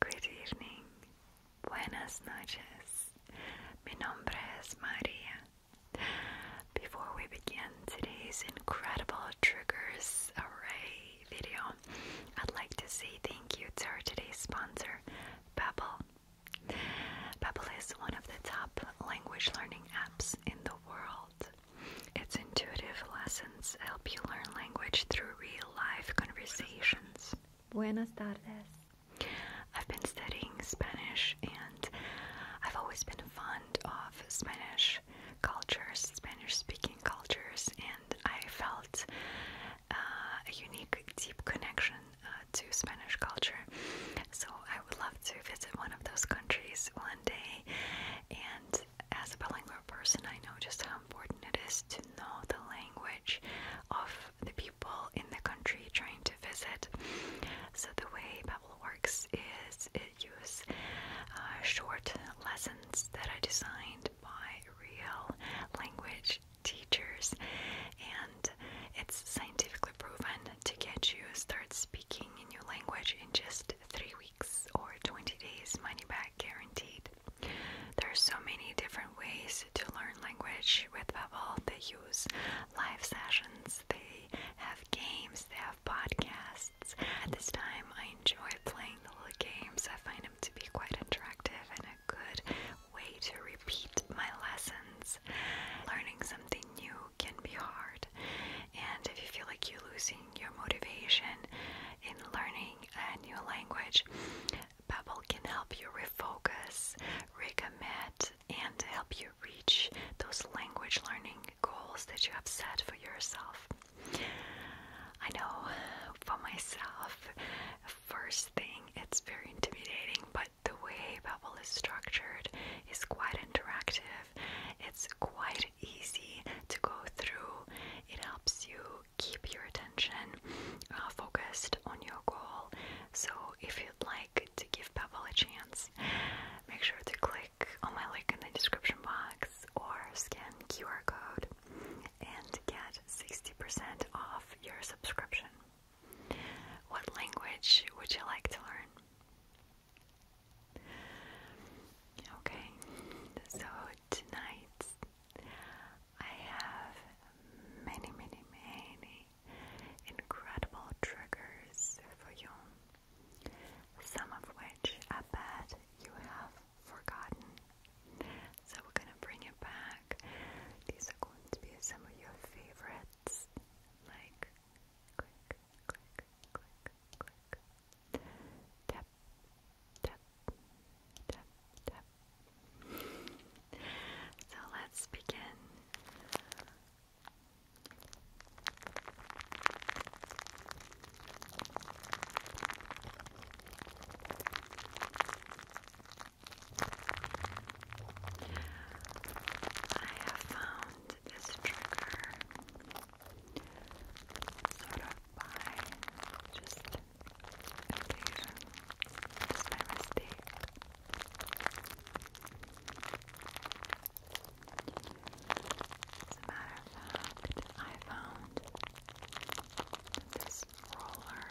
good evening. Buenas noches. Mi nombre es Maria. Before we begin today's incredible triggers array video, I'd like to say thank you to our today's sponsor, Babbel. Babbel is one of the top language learning apps in the world. Its intuitive lessons help you learn language through real life conversations. Buenas tardes. I've been studying Spanish and I've always been fond of Spanish cultures, Spanish speaking cultures, and I felt uh, a unique, deep connection uh, to Spanish culture. So I would love to visit one of those countries one day and as a bilingual person, I know just how important it is to know the language of the people in the country trying to visit. So, the way Babbel works is it uses uh, short lessons that are designed by real language teachers, and it's scientifically proven to get you start speaking a new language in just three weeks or 20 days money back guaranteed. There are so many different ways to learn language with Babbel. They use live sessions, they have games, they have podcasts. At this time, I enjoy playing the little games. I find them to be quite interactive and a good way to repeat my lessons. Learning something new can be hard, and if you feel like you're losing your motivation in learning, learning a new language. Babbel can help you refocus, recommend, and help you reach those language learning goals that you have set for yourself. I know for myself, first thing, it's very intimidating, but the way Babbel is structured is quite interactive. It's quite easy to go through. It helps you keep your attention uh, focused on your goal. So, if you'd like to give Pebble a chance, make sure to click on my link in the description box or scan QR code and get 60% off your subscription. What language would you like to learn? Okay, so tonight I have many, many, many incredible triggers for you, some of which I bet you have forgotten. So we're gonna bring it back. These are going to be some of your favorites, like click, click, click, click, tap, so let's begin. I have found this trigger sort of by just just my mistake. As a matter of fact, I found this roller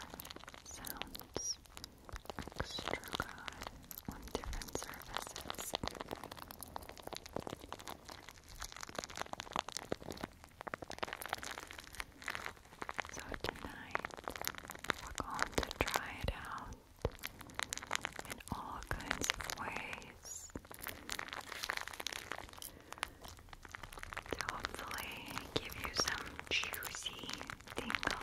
sounds extra good on different surfaces. So tonight we're going to try it out in all kinds of ways to hopefully give you some juicy tingles.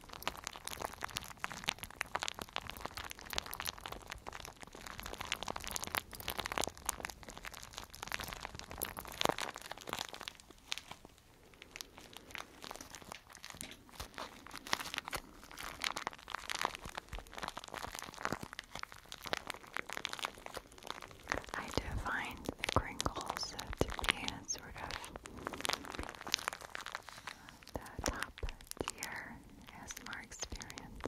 I do find the crinkles to be a sort the top tier ASMR experience.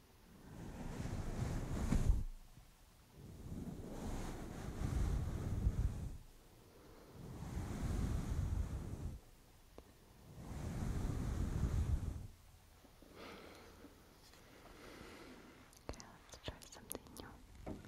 Okay, let's try something new. Okay,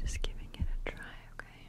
Just giving it a try, okay?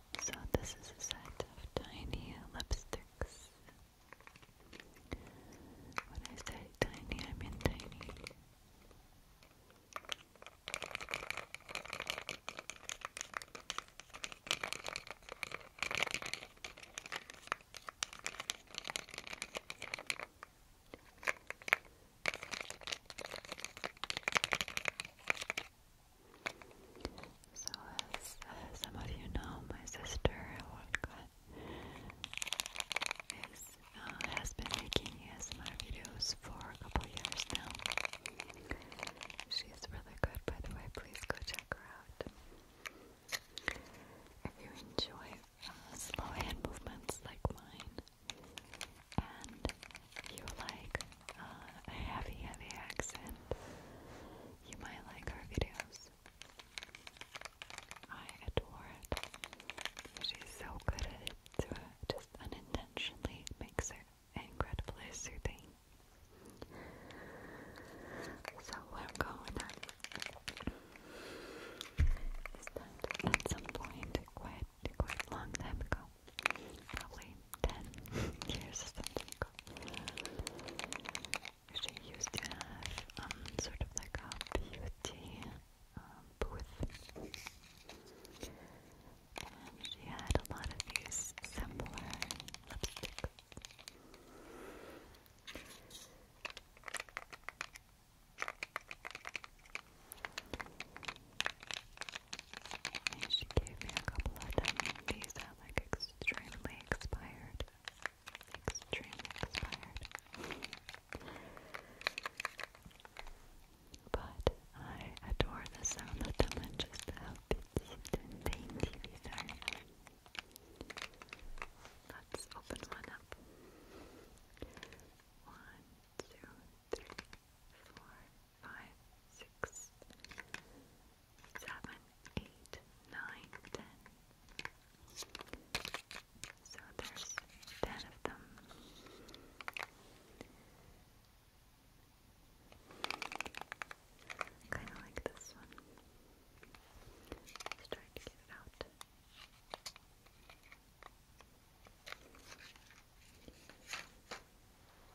So this is a set of tiny lipsticks. When I say tiny, I mean tiny. So, as some of you know, my sister Olga uh, has been making ASMR videos for a couple years now. She's really good, by the way. Please go check her out. If you enjoy uh, slow hand movements like mine you like uh, a heavy, heavy accent, you might like her videos. I adore it. She's so good at it, just unintentionally makes her incredibly soothing. So we're going on. at some point quite quite long time ago probably 10 years ago. She used to have um, sort of like a beauty um, booth. And she had a lot of these similar lipsticks she gave me a couple of them. that are like extremely expired. Extremely expired. But I adore the sound of them and just how petite and dainty are. Let's open one up. One, two, three, four, five, six, seven, eight, nine, ten. So there's ten of them. Kind of like this one. let to get it out.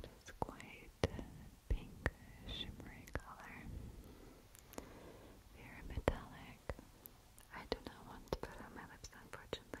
It is quite pink, shimmery color. Very metallic. I do not want to put on my lips, unfortunately.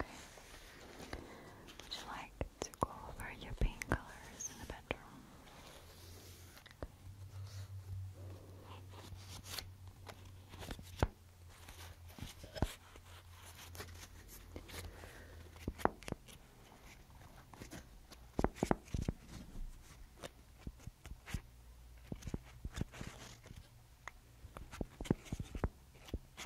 Okay. Would you like to go over your paint colors in the bedroom?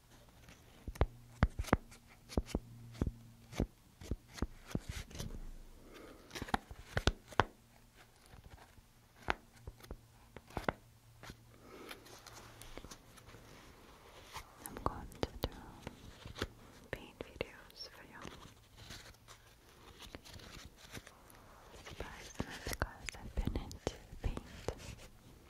I'm going to do paint videos for you. But because I've been into paint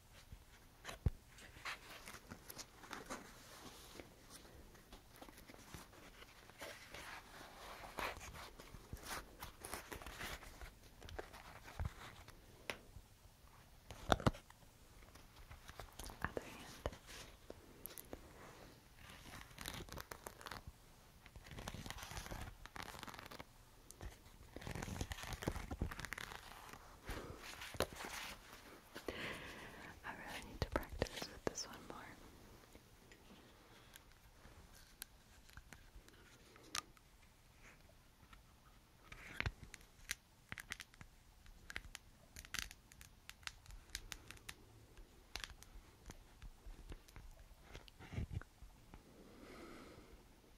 Other hand. Good. I really need to practice with this one more.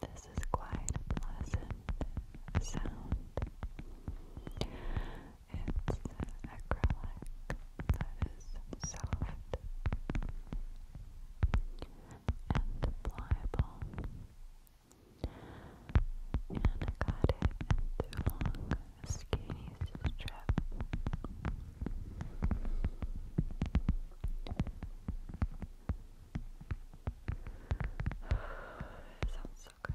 This is quite a pleasant sound. It's acrylic that is soft and pliable. And I it into long skinny strip. It sounds so Good.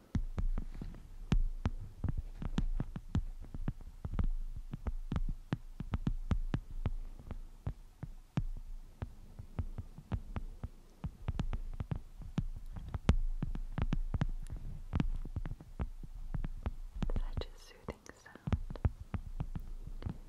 Such a soothing sound. Thank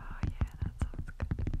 Oh, yeah, that sounds good.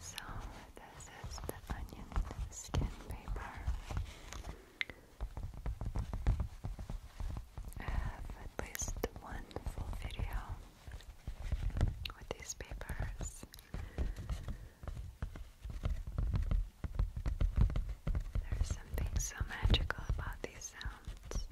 So, this is the onion skin paper. I have at least one full video with these papers. There's something so magical about these sounds.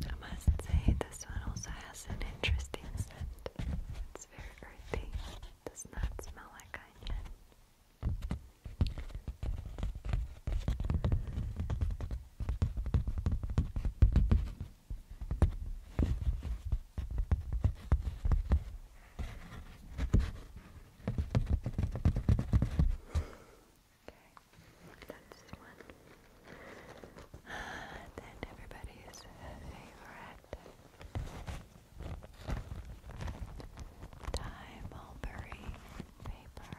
I must say, this one also has an interesting scent. It's very earthy, does not smell like onion that's the one. Then everybody's uh, favorite Thai uh, mulberry paper.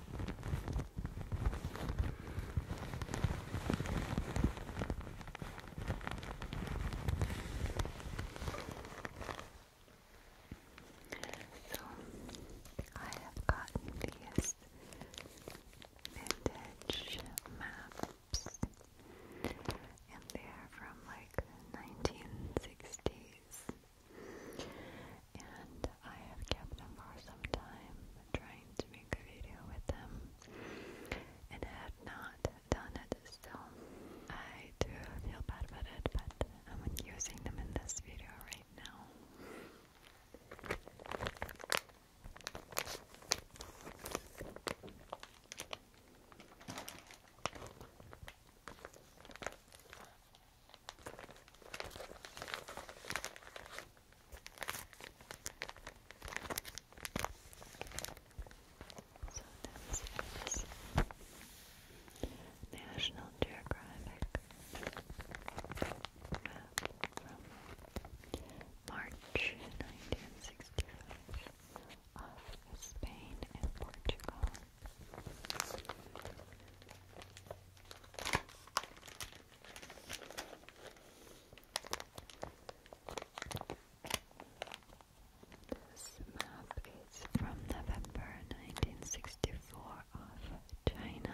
So I have gotten these vintage maps and they're from like nineteen sixties and I have kept them for some time trying to make a video with them and have not done it still. I do feel bad about it, but I'm using them in this video right now. So that's National Geographic March 1965 of Spain and Portugal. This map is from November 1964 of China.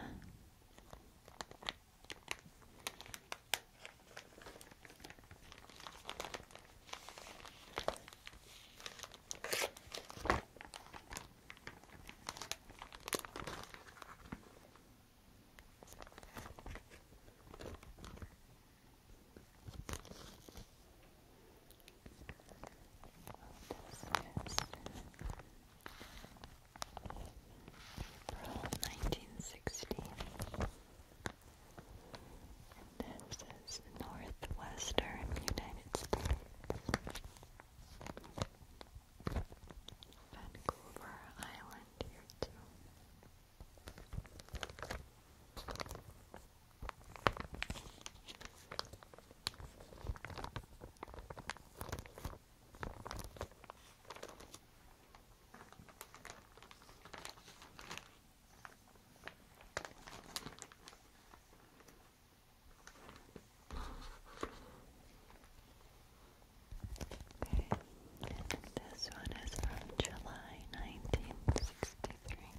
April nineteen sixty. And northwestern United States. Vancouver Island here too. Okay, this one is from July 1963.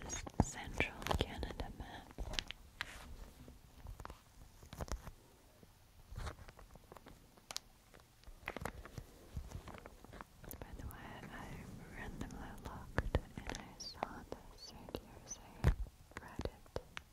This is Central Canada map. By the way, I randomly looked and I saw this here saying Reddit. Very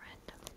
random.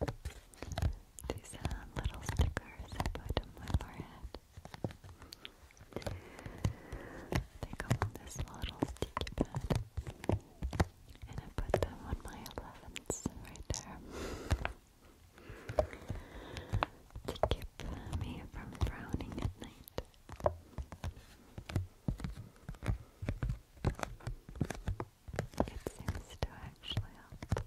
These uh, little stickers I put on my forehead. They come on this little sticky pad. And I put them on my 11s right there. to keep me from frowning at night. It seems to actually help.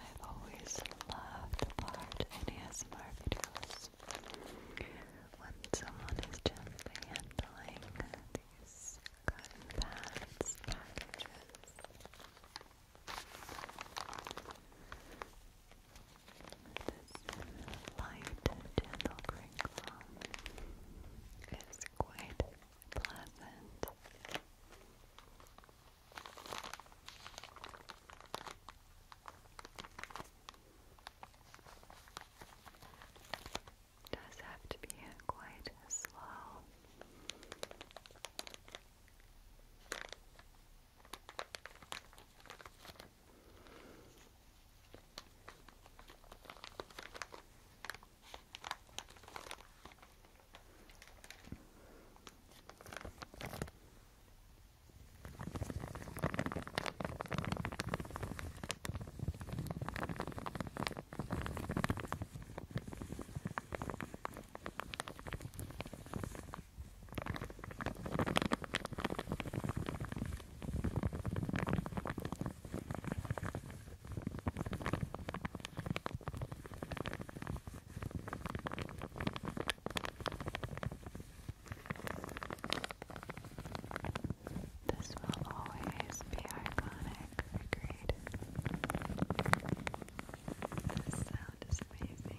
I've always loved the part in ASMR videos when someone is gently handling these cotton pads, packages. This light, gentle crinkle is quite pleasant does have to be quite slow. This will always be iconic. Agreed. The sound is amazing.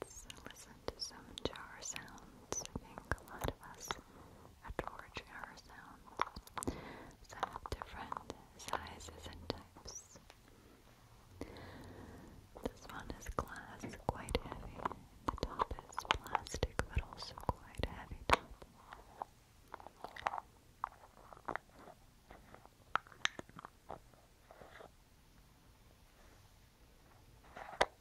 Let's listen to some jar sounds. I think a lot of us a torch arrow sound. So different sizes and types. This one is glass, quite heavy. The top is plastic, but also quite heavy top.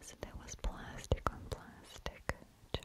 So that was plastic on plastic jar.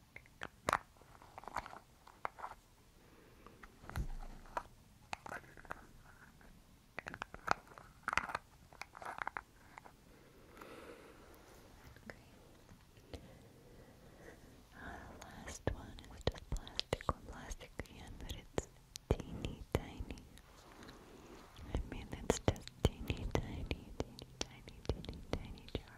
Our last one is just plastic plastic again, it's teeny tiny. I mean, it's just teeny tiny, teeny tiny, teeny tiny jar.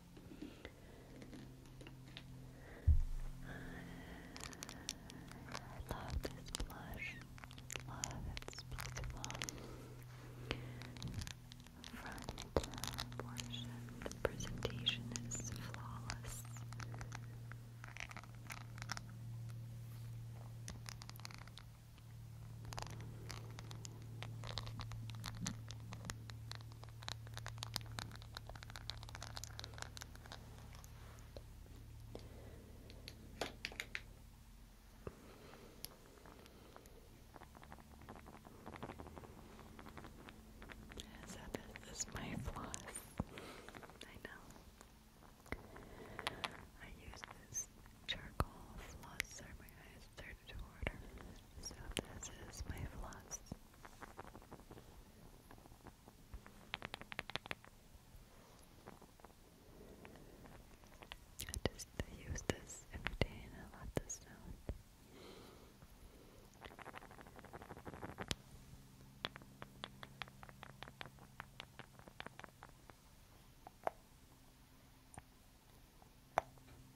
I love this blush. it's beautiful. The presentation is flawless. So this is my floss. I know. I use this charcoal flosser. My eyes started to water. So this is my floss. I just I use this every day and I this sound. Christ.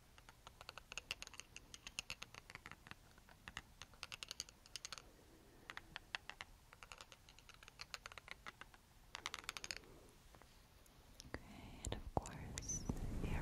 Okay, and of course, hair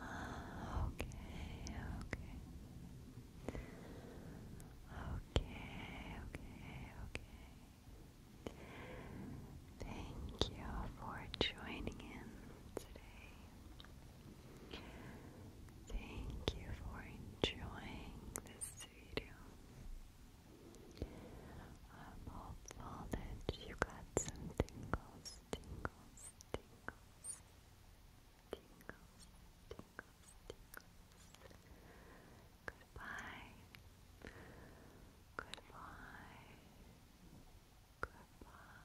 Okay, okay. Okay, okay, okay. Thank you for joining in today. Thank you for enjoying this video. I'm hopeful that you got some tingles, tingles, tingles, tingles, tingles, tingles. Goodbye. Goodbye. Goodbye.